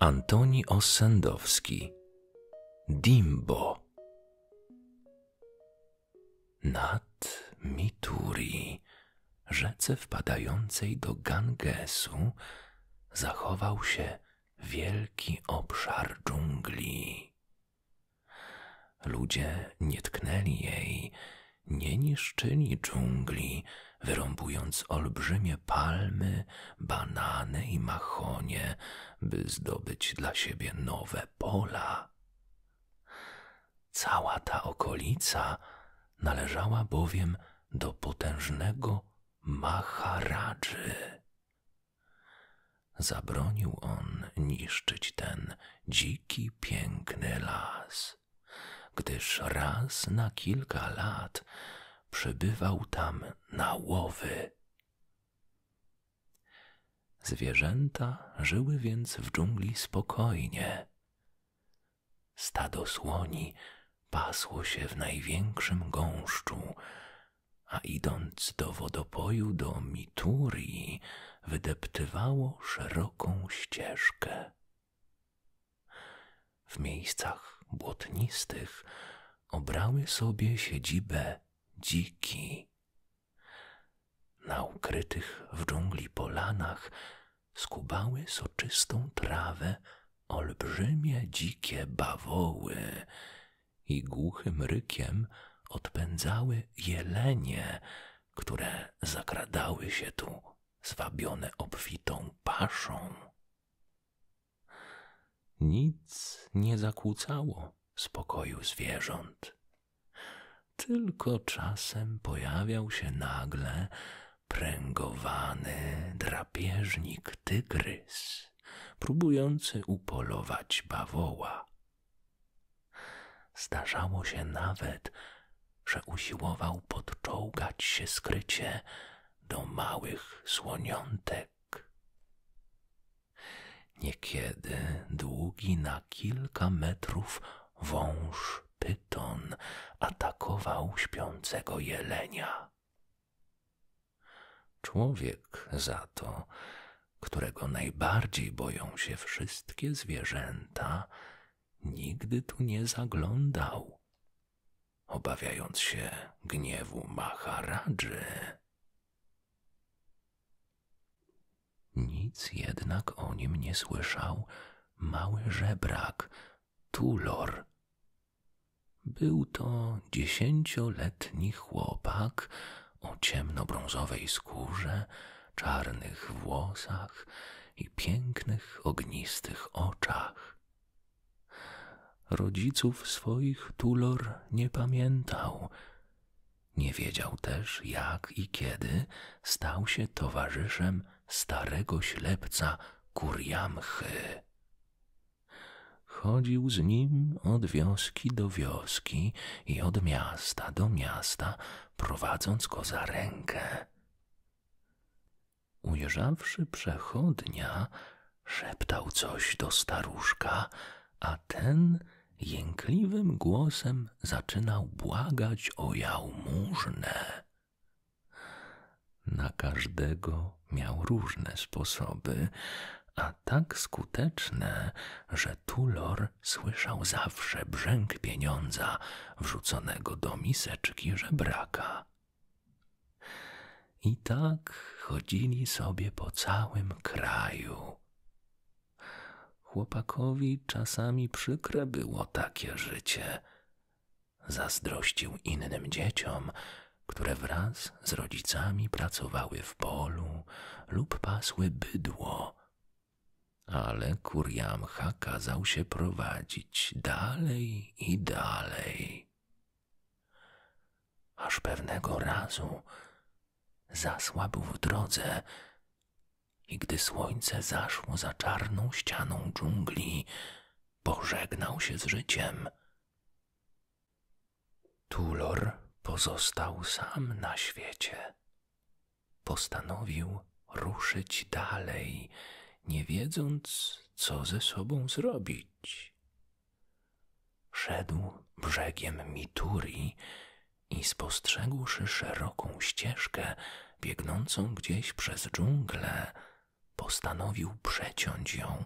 Antoni Osendowski Dimbo. Nad Mituri, rzece wpadającej do Gangesu, zachował się wielki obszar dżungli. Ludzie nie tknęli jej, nie niszczyli dżungli, wyrąbując olbrzymie palmy, banany i mahonie by zdobyć dla siebie nowe pola. Cała ta okolica należała bowiem do potężnego Maharadży. Zabronił on niszczyć ten dziki, piękny las, gdyż raz na kilka lat przebywał tam na łowy Zwierzęta żyły więc w dżungli spokojnie. Stado słoni pasło się w największym gąszczu, a idąc do wodopoju do Miturii, wydeptywało szeroką ścieżkę. W miejscach błotnistych obrały sobie siedzibę dziki. Na ukrytych w dżungli polanach skubały soczystą trawę olbrzymie dzikie bawoły i głuchym rykiem odpędzały jelenie, które zakradały się tu, zwabione obfitą paszą. Nic nie zakłócało spokoju zwierząt. Tylko czasem pojawiał się nagle pręgowany drapieżnik tygrys, próbujący upolować bawoła. Zdarzało się nawet, że usiłował podczołgać się skrycie do małych słoniątek Niekiedy długi na kilka metrów wąż pyton atakował śpiącego jelenia. Człowiek za to, którego najbardziej boją się wszystkie zwierzęta, nigdy tu nie zaglądał obawiając się gniewu Maharadży. Nic jednak o nim nie słyszał mały żebrak, Tulor. Był to dziesięcioletni chłopak o ciemnobrązowej skórze, czarnych włosach i pięknych, ognistych oczach. Rodziców swoich Tulor nie pamiętał. Nie wiedział też, jak i kiedy stał się towarzyszem starego ślepca Kurjamchy. Chodził z nim od wioski do wioski i od miasta do miasta, prowadząc go za rękę. Ujrzawszy przechodnia, szeptał coś do staruszka, a ten jękliwym głosem zaczynał błagać o jałmużnę. Na każdego miał różne sposoby, a tak skuteczne, że Tulor słyszał zawsze brzęk pieniądza wrzuconego do miseczki żebraka. I tak chodzili sobie po całym kraju. Chłopakowi czasami przykre było takie życie. Zazdrościł innym dzieciom, które wraz z rodzicami pracowały w polu lub pasły bydło. Ale Kuriamcha kazał się prowadzić dalej i dalej aż pewnego razu zasłabł w drodze i gdy słońce zaszło za czarną ścianą dżungli, pożegnał się z życiem. Tulor pozostał sam na świecie. Postanowił ruszyć dalej, nie wiedząc, co ze sobą zrobić. Szedł brzegiem Mituri i spostrzegłszy szeroką ścieżkę biegnącą gdzieś przez dżunglę, postanowił przeciąć ją,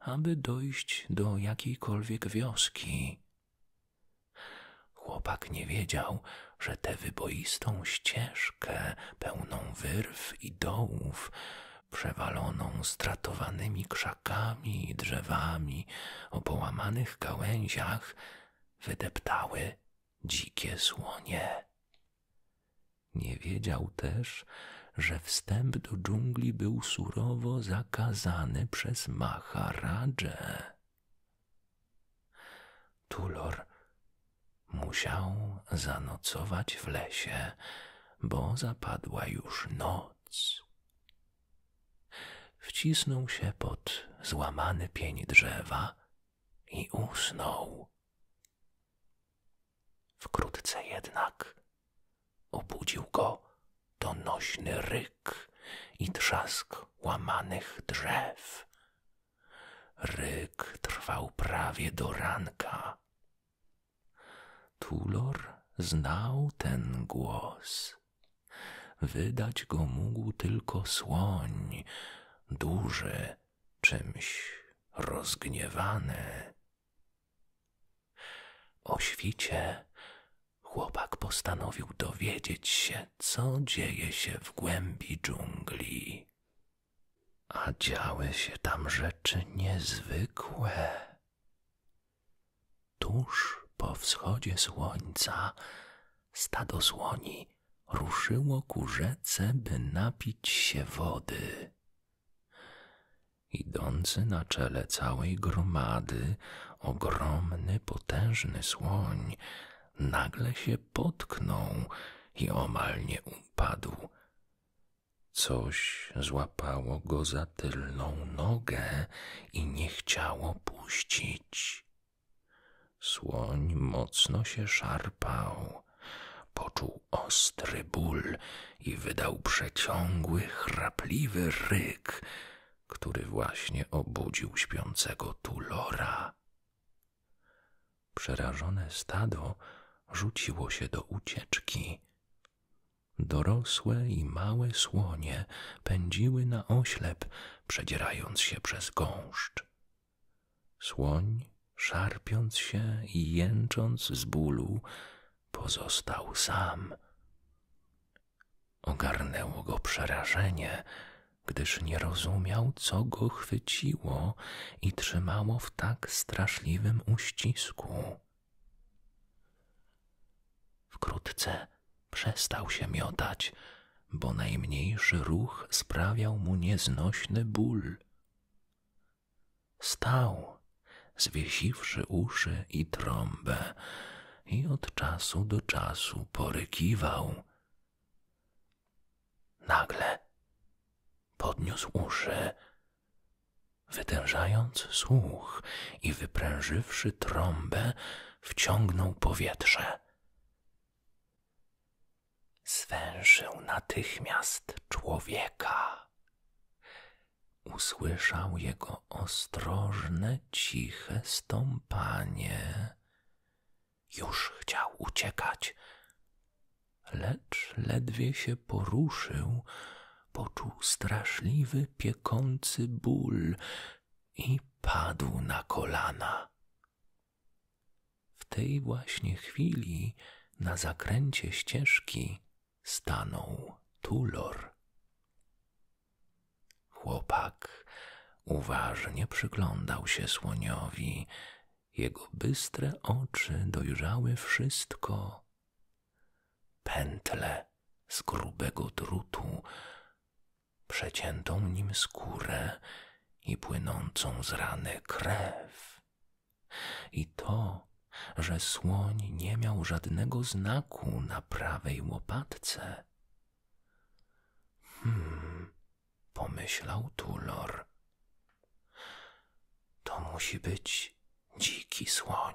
aby dojść do jakiejkolwiek wioski. Chłopak nie wiedział, że tę wyboistą ścieżkę, pełną wyrw i dołów, przewaloną stratowanymi krzakami, krzakami i drzewami, o połamanych gałęziach wydeptały dzikie słonie. Nie wiedział też, że wstęp do dżungli był surowo zakazany przez Maharadżę. Tulor musiał zanocować w lesie, bo zapadła już noc. Wcisnął się pod złamany pień drzewa i usnął. Wkrótce jednak obudził go donośny ryk i trzask łamanych drzew. Ryk trwał prawie do ranka. Tulor znał ten głos. Wydać go mógł tylko słoń, duży, czymś rozgniewany. O świcie chłopak postanowił dowiedzieć się, co dzieje się w głębi dżungli. A działy się tam rzeczy niezwykłe. Tuż po wschodzie słońca stado słoni ruszyło ku rzece, by napić się wody. Idący na czele całej gromady ogromny, potężny słoń nagle się potknął i omal nie upadł. Coś złapało go za tylną nogę i nie chciało puścić. Słoń mocno się szarpał. Poczuł ostry ból i wydał przeciągły, chrapliwy ryk, który właśnie obudził śpiącego tulora. Przerażone stado rzuciło się do ucieczki. Dorosłe i małe słonie pędziły na oślep, przedzierając się przez gąszcz. Słoń, szarpiąc się i jęcząc z bólu, pozostał sam. Ogarnęło go przerażenie, gdyż nie rozumiał, co go chwyciło i trzymało w tak straszliwym uścisku. Wkrótce przestał się miotać, bo najmniejszy ruch sprawiał mu nieznośny ból. Stał, zwiesiwszy uszy i trąbę, i od czasu do czasu porykiwał. Nagle podniósł uszy Wytężając słuch i wyprężywszy trąbę, wciągnął powietrze. Zwęszył natychmiast człowieka. Usłyszał jego ostrożne, ciche stąpanie. Już chciał uciekać, lecz ledwie się poruszył, poczuł straszliwy, piekący ból i padł na kolana. W tej właśnie chwili na zakręcie ścieżki stanął Tulor. Chłopak uważnie przyglądał się słoniowi. Jego bystre oczy dojrzały wszystko, pętlę z grubego drutu, przeciętą nim skórę i płynącą z rany krew. I to, że słoń nie miał żadnego znaku na prawej łopatce. Hmm, pomyślał Tulor. To musi być dziki słoń,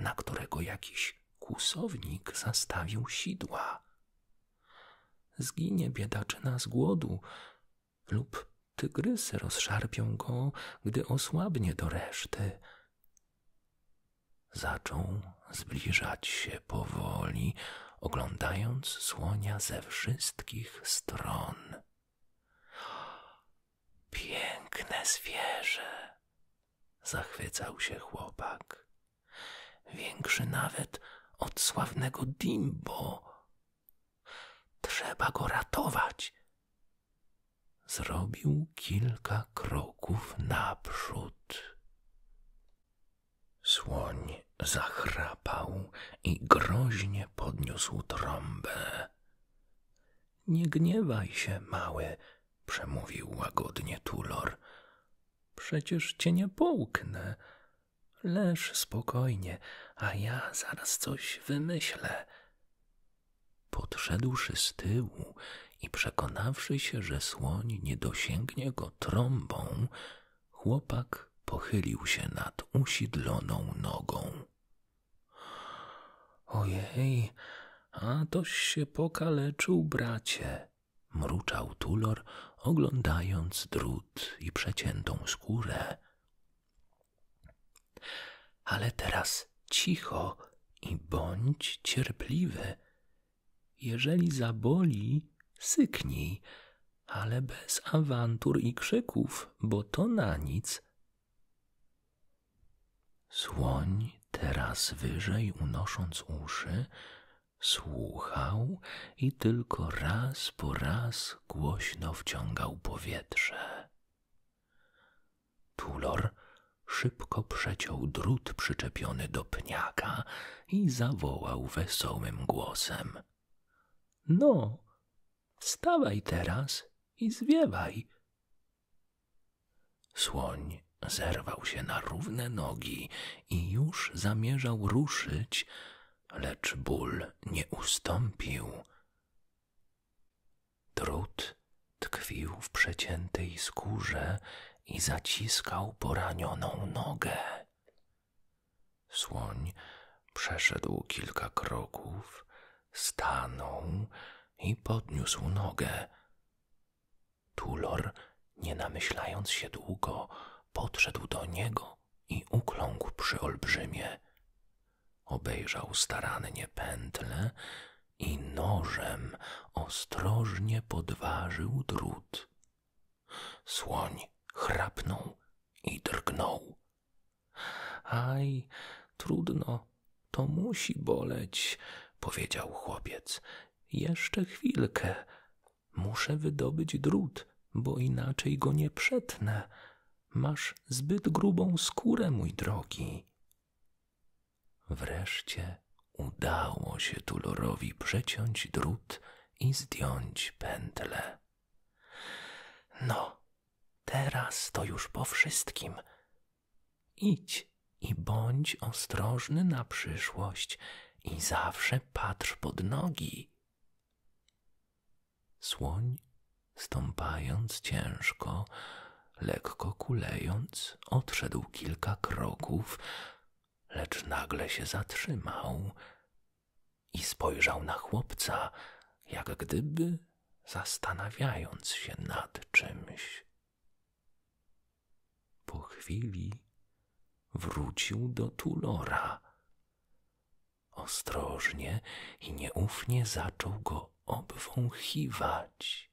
na którego jakiś kłusownik zastawił sidła. Zginie biedaczyna z głodu lub tygrysy rozszarpią go, gdy osłabnie do reszty. Zaczął zbliżać się powoli, oglądając słonia ze wszystkich stron. Piękne zwierzę, zachwycał się chłopak. Większy nawet od sławnego Dimbo. Trzeba go ratować. Zrobił kilka kroków naprzód. Słoń zachrapał i groźnie podniósł trąbę. Nie gniewaj się, mały, przemówił łagodnie Tulor. Przecież cię nie połknę. Leż spokojnie, a ja zaraz coś wymyślę. Podszedłszy z tyłu i przekonawszy się, że słoń nie dosięgnie go trąbą, chłopak pochylił się nad usidloną nogą. Ojej, a toś się pokaleczył, bracie, mruczał Tulor, oglądając drut i przeciętą skórę. Ale teraz cicho i bądź cierpliwy. Jeżeli zaboli, syknij, ale bez awantur i krzyków, bo to na nic, Słoń, teraz wyżej unosząc uszy, słuchał i tylko raz po raz głośno wciągał powietrze. Tulor szybko przeciął drut przyczepiony do pniaka i zawołał wesołym głosem. No, wstawaj teraz i zwiewaj. Słoń zerwał się na równe nogi i już zamierzał ruszyć, lecz ból nie ustąpił. Trud tkwił w przeciętej skórze i zaciskał poranioną nogę. Słoń przeszedł kilka kroków, stanął i podniósł nogę. Tulor, nie namyślając się długo, podszedł do niego i ukląkł przy olbrzymie. Obejrzał starannie pętlę i nożem ostrożnie podważył drut. Słoń chrapnął i drgnął. Aj, trudno, to musi boleć, powiedział chłopiec. Jeszcze chwilkę. Muszę wydobyć drut, bo inaczej go nie przetnę. Masz zbyt grubą skórę, mój drogi. Wreszcie udało się Tulorowi przeciąć drut i zdjąć pętlę. No, teraz to już po wszystkim, Idź i bądź ostrożny na przyszłość i zawsze patrz pod nogi. Słoń, stąpając ciężko, lekko kulejąc, odszedł kilka kroków, lecz nagle się zatrzymał i spojrzał na chłopca, jak gdyby zastanawiając się nad czymś. Po chwili wrócił do Tulora. Ostrożnie i nieufnie zaczął go obwąchiwać.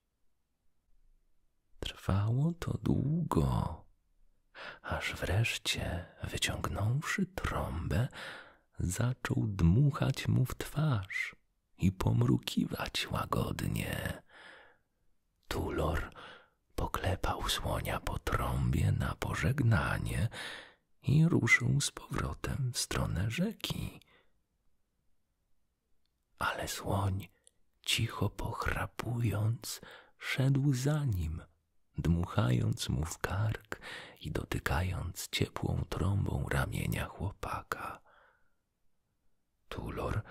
Trwało to długo, aż wreszcie, wyciągnąwszy trąbę, zaczął dmuchać mu w twarz i pomrukiwać łagodnie. Tulor poklepał słonia po trąbie na pożegnanie i ruszył z powrotem w stronę rzeki. Ale słoń, cicho pochrapując, szedł za nim, dmuchając mu w kark i dotykając ciepłą trąbą ramienia chłopaka. Tulor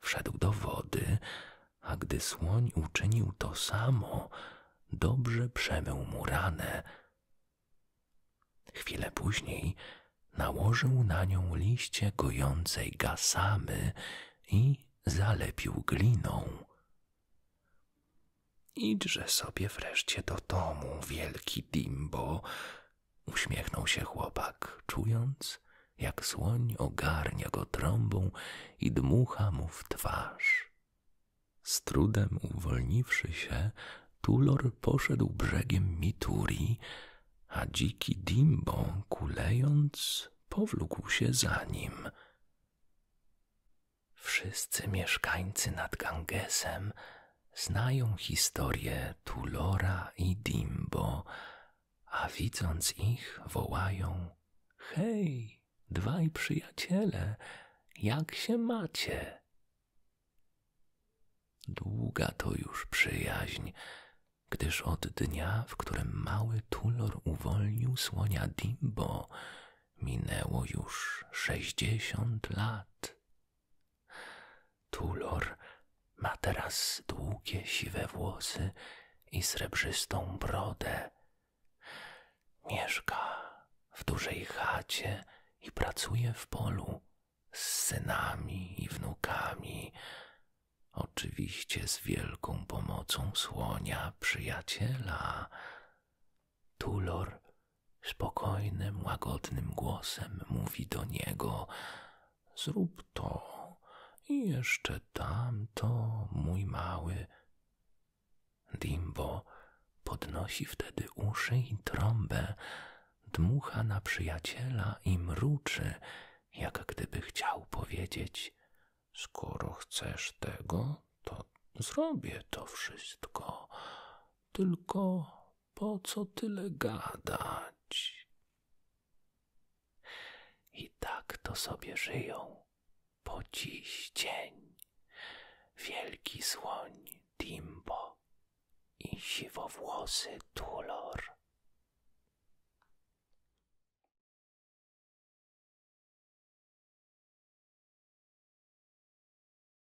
wszedł do wody, a gdy słoń uczynił to samo, dobrze przemył mu ranę. Chwilę później nałożył na nią liście gojącej gasamy i zalepił gliną. Idźże sobie wreszcie do domu, wielki Dimbo, Uśmiechnął się chłopak, czując, jak słoń ogarnia go trąbą i dmucha mu w twarz. Z trudem uwolniwszy się, Tulor poszedł brzegiem Mituri, a dziki Dimbo, kulejąc, powlókł się za nim. Wszyscy mieszkańcy nad Gangesem znają historię Tulora i Dimbo, a widząc ich wołają: Hej, dwaj przyjaciele, jak się macie? Długa to już przyjaźń, gdyż od dnia, w którym mały Tulor uwolnił słonia Dimbo, minęło już sześćdziesiąt lat. Tulor ma teraz długie siwe włosy i srebrzystą brodę. Mieszka w dużej chacie i pracuje w polu z synami i wnukami. Oczywiście z wielką pomocą słonia przyjaciela. Tulor spokojnym, łagodnym głosem mówi do niego – Zrób to i jeszcze tamto, mój mały. Dimbo podnosi wtedy uszy i trąbę, dmucha na przyjaciela i mruczy, jak gdyby chciał powiedzieć: Skoro chcesz tego, to zrobię to wszystko. Tylko po co tyle gadać? I tak to sobie żyją po dziś dzień wielki słoń Timbo i siwowłosy Tulor.